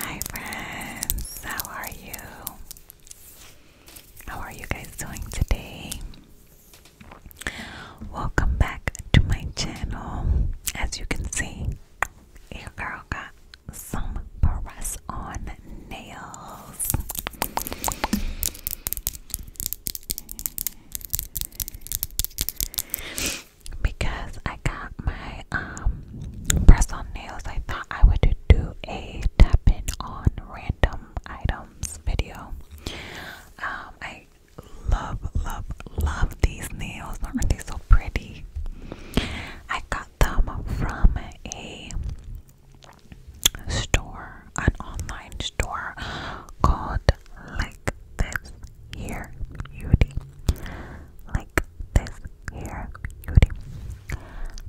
Hi friends, how are you? How are you guys doing today? Welcome back to my channel. As you can see, your girl got some press on nails because I got my um press on nails, I thought I would do a tapping on random items video. Um, I love, love, love these nails. Aren't they so pretty? I got them from a store, an online store called like this here beauty like this here beauty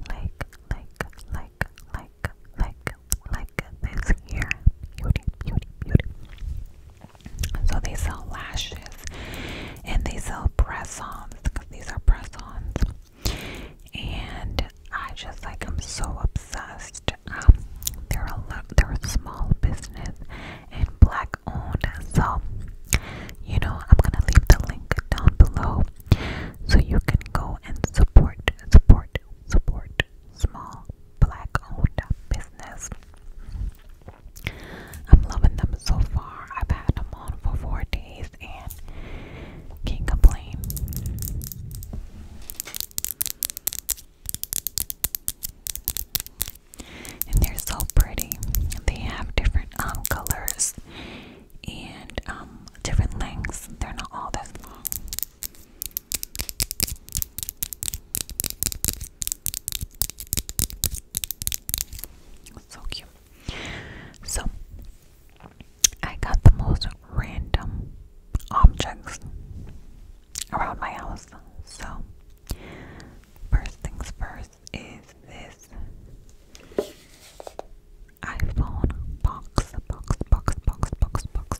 like like like like like like this here beauty beauty beauty so they sell lashes and they sell press because these are press and I just like I'm so obsessed um they're a they're a small business and black owned. So, you know, I'm gonna leave the link down below so you can go and support, support, support small black owned business. I'm loving them so far. I've had them on for four days and can't complain. And they're so pretty. They have different um, colors and um, different lengths. They're not all this long. So cute. So I got the most random objects around my house. So First things first is this iPhone box, box, box, box, box, box.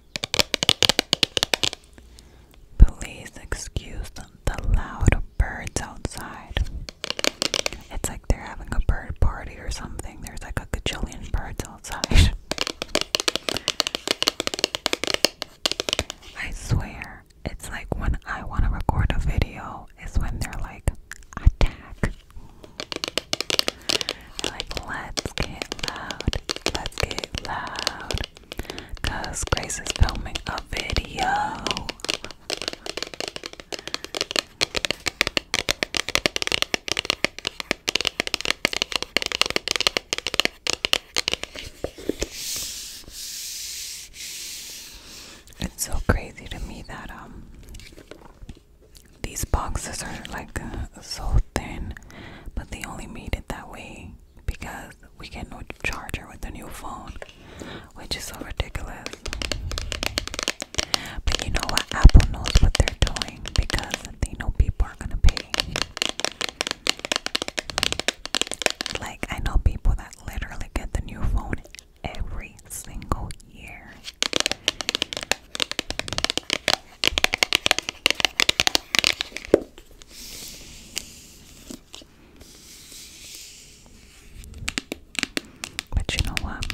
Please excuse the loud birds outside. It's like they're having a bird party or something. There's like a gajillion birds outside. I swear, it's like when I want to record a video, is when they're like, attack. like, let's get loud, let's get loud, Cause Grace is filming a video. It's so crazy to me that um these boxes are like uh, so thin, but they only made it that way because we get no charger with the new phone, which is so ridiculous. But you know what? Apple knows what they're doing because they know people are gonna pay. Like, I know people that literally get the new phone every single year. But you know what?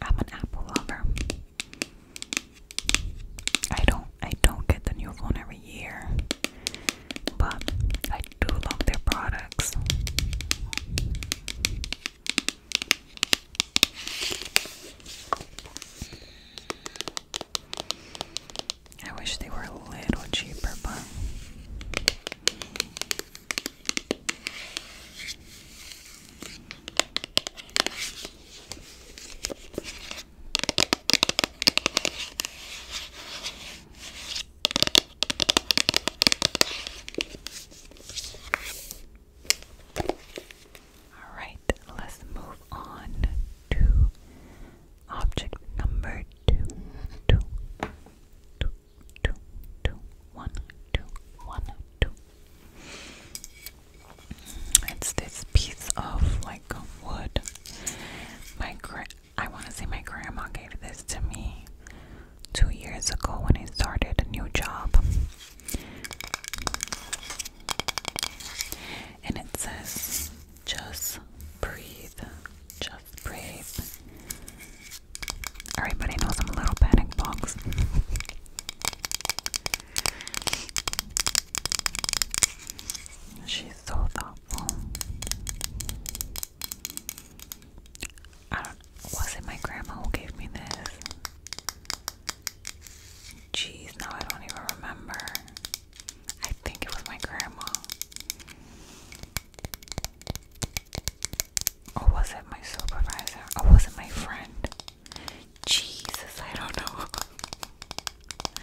I'm an Apple lover. I don't I don't get the new phone every year. But I do love their products. I wish they were a little cheaper, but Alright, let's move on to object number two. Two, two, two, It's this piece of like wood. My I want to say my grandma gave this to me two years ago when I started a new job and it says, just breathe, just breathe. Everybody knows I'm a little panic box. She's so thoughtful. I was it my grandma who gave me this? Jeez, now I don't even remember. I think it was my grandma. Or was it my supervisor? Or was it my friend? Jesus, I don't know.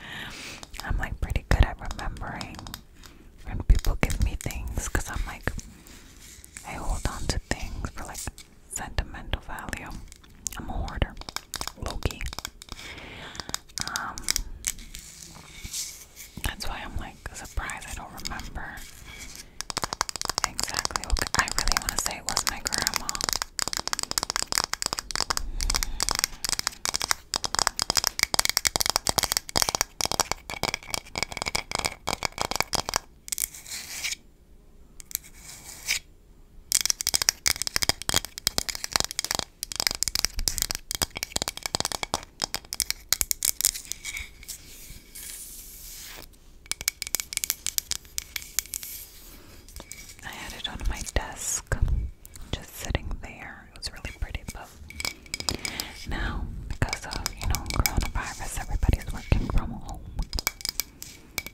I'm like pretty good at remembering when people give me things because I'm like, I hold on to things for like sentimental value. I'm a hoarder. Loki. Um that's why I'm like surprised I don't remember exactly I really want to say it was my grandma. I had it on my desk, just sitting there. It was really pretty, but now because of you know coronavirus, everybody's working from home.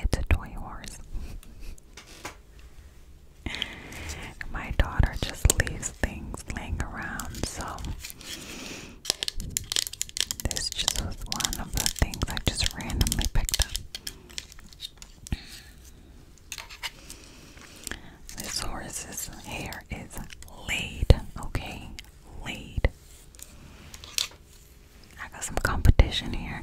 It's a toy horse. My daughter just leaves things laying around, so this just was one of the things I just randomly picked up. This horse's hair is laid, okay? Laid. I got some competition here.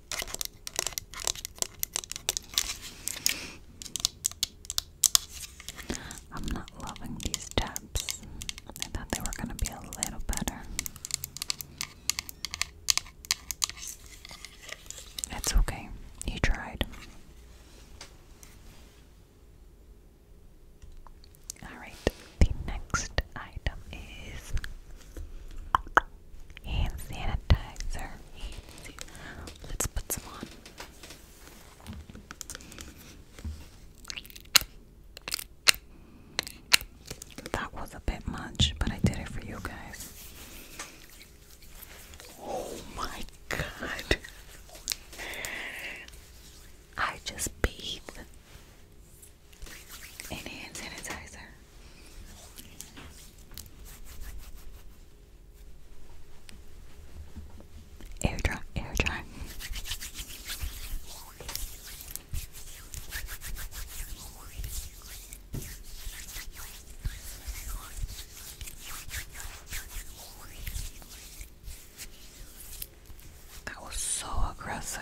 I'm not loving these taps. I thought they were going to be a little better. It's okay. You tried. Alright, the next item is hand sanitizer. Let's put some on. That was a bit much, but I did it for you guys. Oh my god. I just bathed in hand sanitizer. Air dry, air dry. That was so aggressive.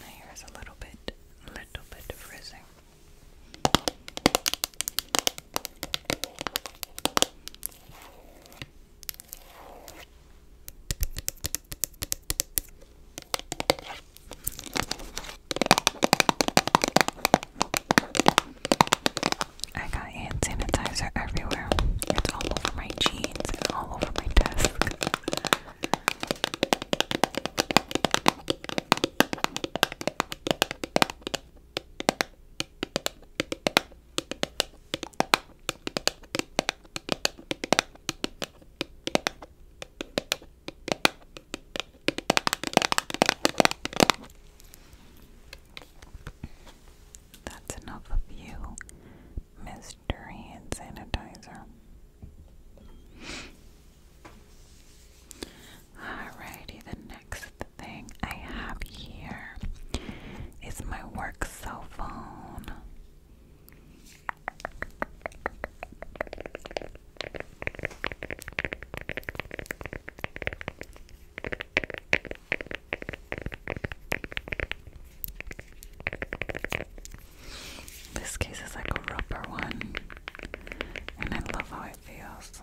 My hair is a little bit, little bit frizzing. I got hand sanitizer everywhere. It's all over my jeans and all over my desk. That's enough of you, mystery Hand sanitizer. Alrighty, the next thing I have here is my work cell phone. This case is like a rubber one, and I love how it feels.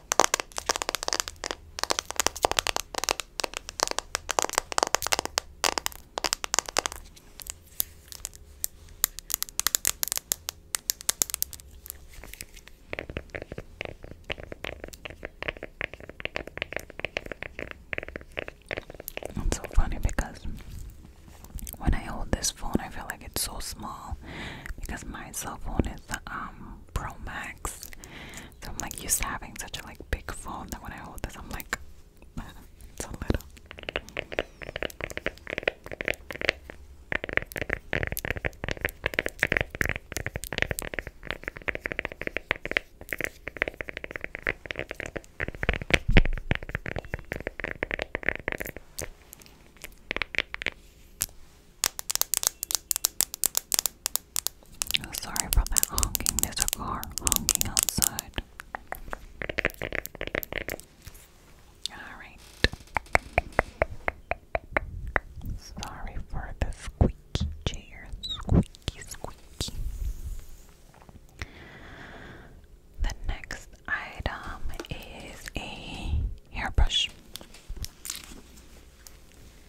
It's so funny because when I hold this phone, I feel like it's so small because my cell phone is with um Pro Max. So I'm like used to having such a like big phone that when I hold this I'm like it's a little sorry for that honking. There's car honking outside. Alright. Sorry for the squeaky chair. Squeaky, squeaky. The next item is a hairbrush.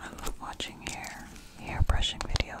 I love watching hair, hair brushing videos.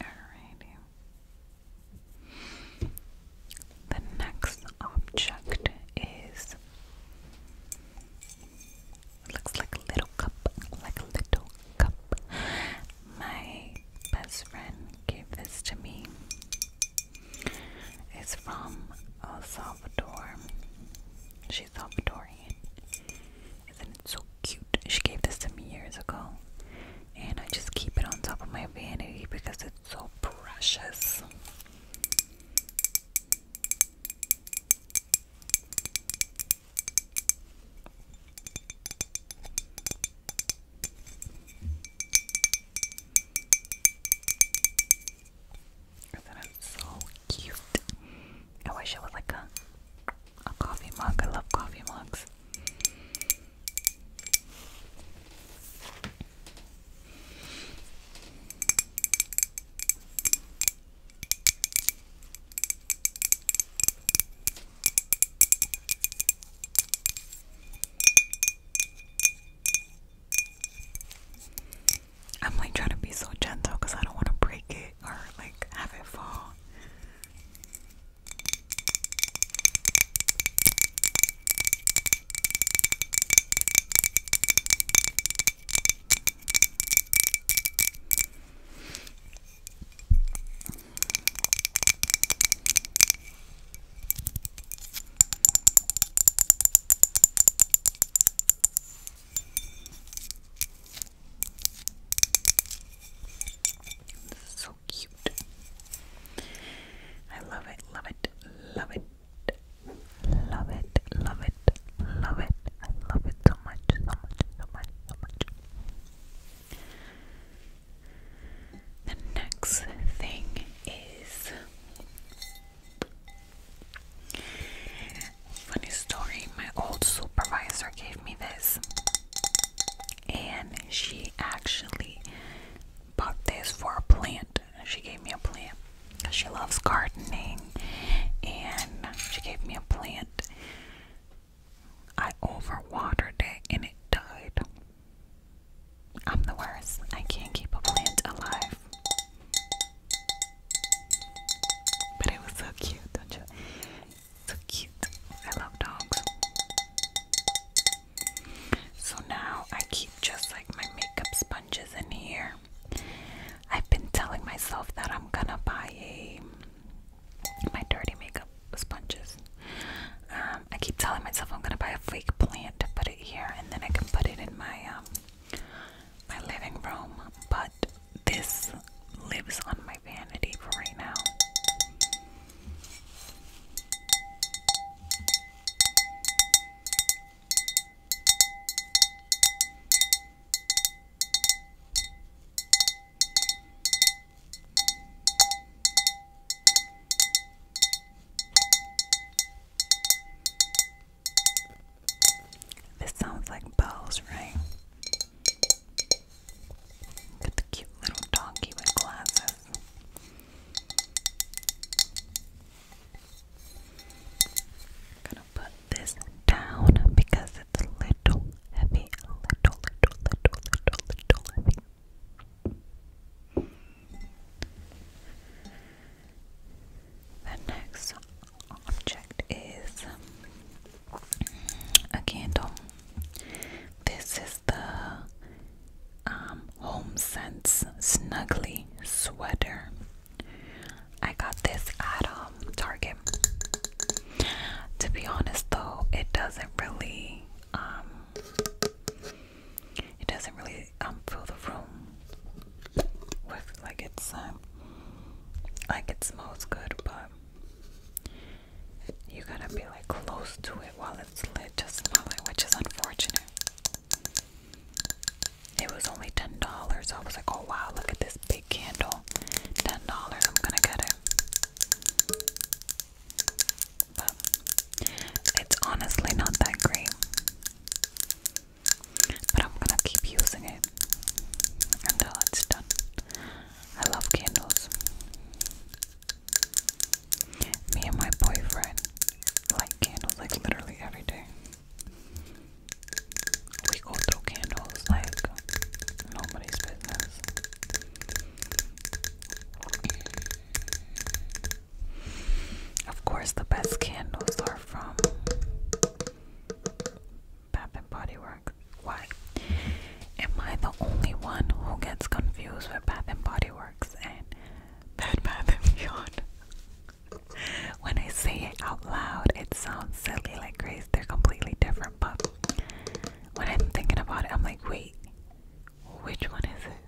Alrighty. The next object is looks like a little cup, like a little cup. My best friend gave this to me. It's from El Salvador she's Salvadorian. Isn't so cute? She gave this to me years ago. And I just keep it on top of my vanity because it's so precious. Isn't so cute? I wish it was like a a coffee mug. I love coffee mugs. I'm like trying to be so gentle because I don't want to break it it or like have it fall. So cute. I love it, love it, love it, love it, love it, love it. I love it so much, so much, so much, so much. The next thing is Funny story, my old supervisor gave me this, and she actually bought this for a plant. She gave me a plant because she loves gardening, and she gave me a plant. I overwatered it and it died. I'm the worst. I can't keep a plant alive. But it was so cute, don't you? So cute. I love dogs. So now I keep just like my makeup sponges in here. I've been telling myself that I'm gonna buy a my dirty makeup sponges. Um, I keep telling myself I'm gonna buy a fake plant to put it here, and then I can put it in my um, my living room, but this lives on my vanity for right now. This sounds like bells, right? Look the cute little donkey with glasses. gonna put this down because it's a little heavy. A little, little, little, little, little heavy. The next object is mm, a candle. This is the um, Home Sense Snuggly Sweater. I got this at um, Target. To be honest, though, it doesn't really, um, it doesn't really um, fill the room with like it's um, like it smells good but you gotta be like close to it while it's lit to smell it which is unfortunate. It was only ten dollars. I was like, oh wow, look at this big candle. Ten dollars, I'm gonna get it. But it's honestly not that great but I'm gonna keep using it until it's done. I love candles. Me and my boyfriend light candles like literally every day. We go through candles like nobody's business. Of course, the best candles are from Bath and Body Works. Why? Am I the only one who gets confused with Bath and Body Works and Bath and Beyond? when I say it out loud, it sounds silly, like crazy. They're completely different, but when I'm thinking about it, I'm like, wait, which one is it?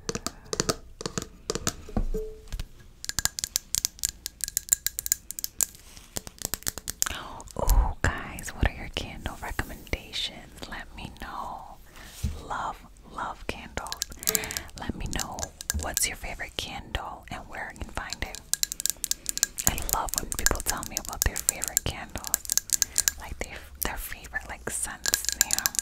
Oh, guys, what are your candle recommendations? Let me know. Love, love candles. Let me know what's your favorite candle and where I can find it. I love when people tell me about their favorite candles, like their their favorite like scents, you know.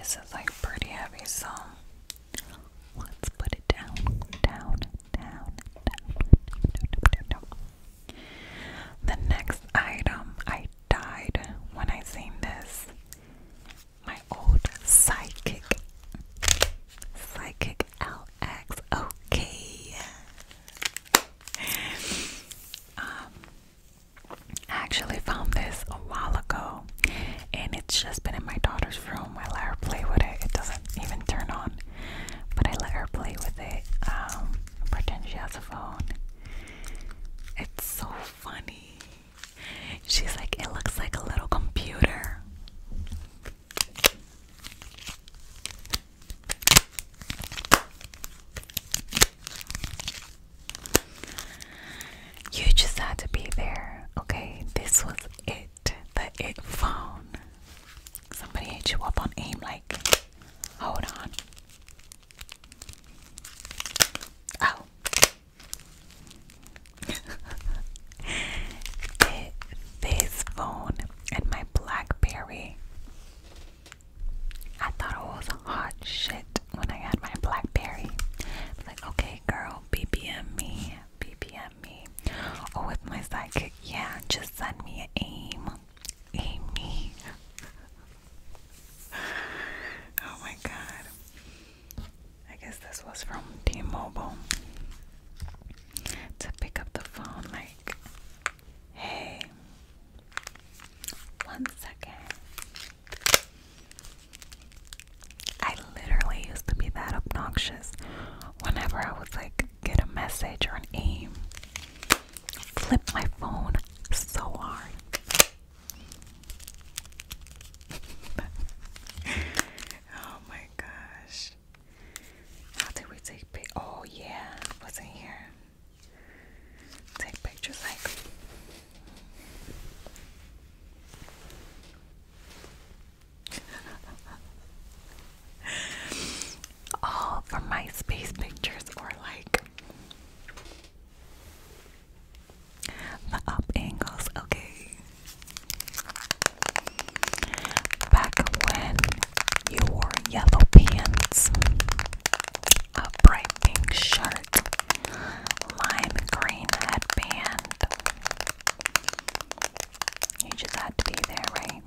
This is like pretty heavy, song. let's put it down, down, down, down. The next item, I died when I seen this my old psychic, psychic LX. Okay. Um, I actually found this a while ago, and it's just been in my daughter's room. I let her play with it. It doesn't even turn on, but I let her play with it. Um, pretend she has a phone. It's so funny. She's like, it looks like a little computer. You just had to be there, okay? This was it, the it phone. Somebody hit you up on AIM, like, hold on. Oh, this phone and my Blackberry. I thought it was hot shit when I had my Blackberry. Like, okay, girl, BBM me, BBM me. Or oh, with my sidekick, yeah, just send me an aim, aim me. oh my god. I guess this was from T Mobile to pick up the phone, like, hey, one second. I literally used to be that obnoxious whenever I would like get a message or an aim, flip my phone so hard. Oh my gosh. How did we take pic? Oh yeah, was in here. Take pictures like. All from MySpace pictures or like the up angles, okay. Back when you wore yellow pants, a bright pink shirt, lime green headband. You just had to be there, right?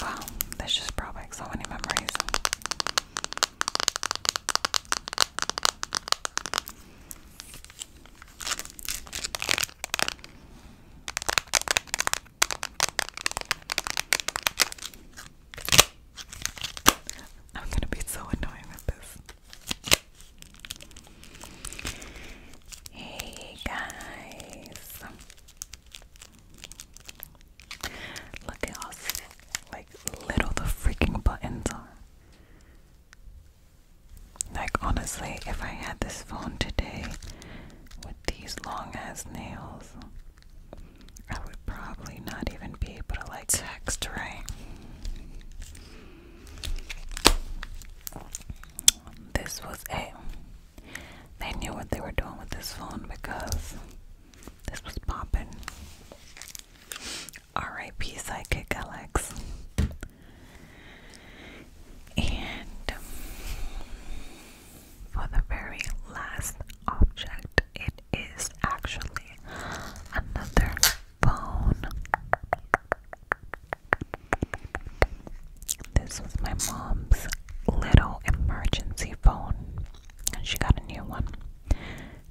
Wow, there's just brought so many memories. I'm gonna be so annoying with this. Hey guys. Look at all like little the freaking buttons are. Like, honestly, if I had this phone today with these long ass nails, I would probably not even be able to like text, right? This was a. They knew what they were doing with this phone because this was popping. RIP Psychic Alex. And um, for the very last object, it is actually another phone. This was my mom's little emergency phone, and she got a new one.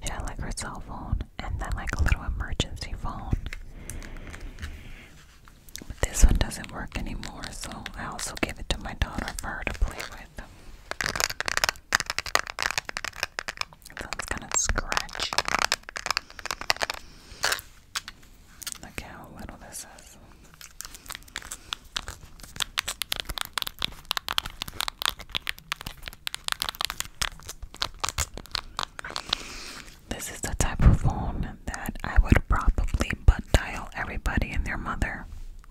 She had like her cell phone and then like a little emergency phone. But this one doesn't work anymore, so I also gave it to my daughter for her to play with. It sounds kind of scratchy. Look how little this is. This is the type of phone that I would probably butt dial everybody and their mother.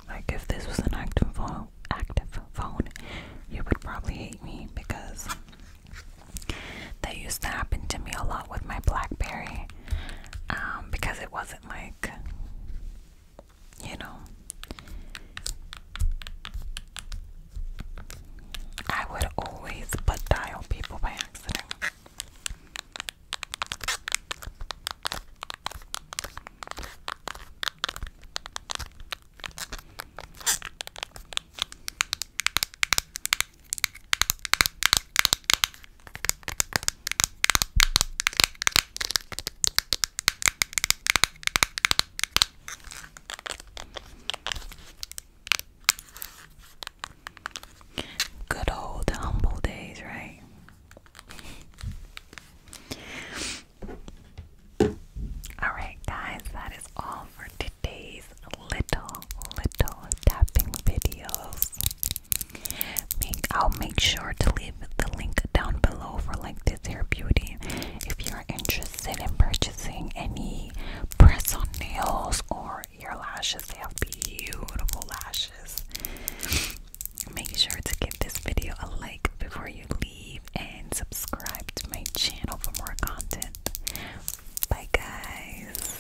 Like if this was an active phone, active phone, you would probably hate me because that used to happen to me a lot with my BlackBerry. Um, because it wasn't like you know, I would always butt dial people by accident. Good old humble days, right? Alright, guys, that is all for today's little, little tapping videos. I'll make sure to leave the link down below for like this hair beauty if you're interested in purchasing any press on nails or your lashes they have beautiful lashes make sure to give this video a like before you leave and subscribe to my channel for more content bye guys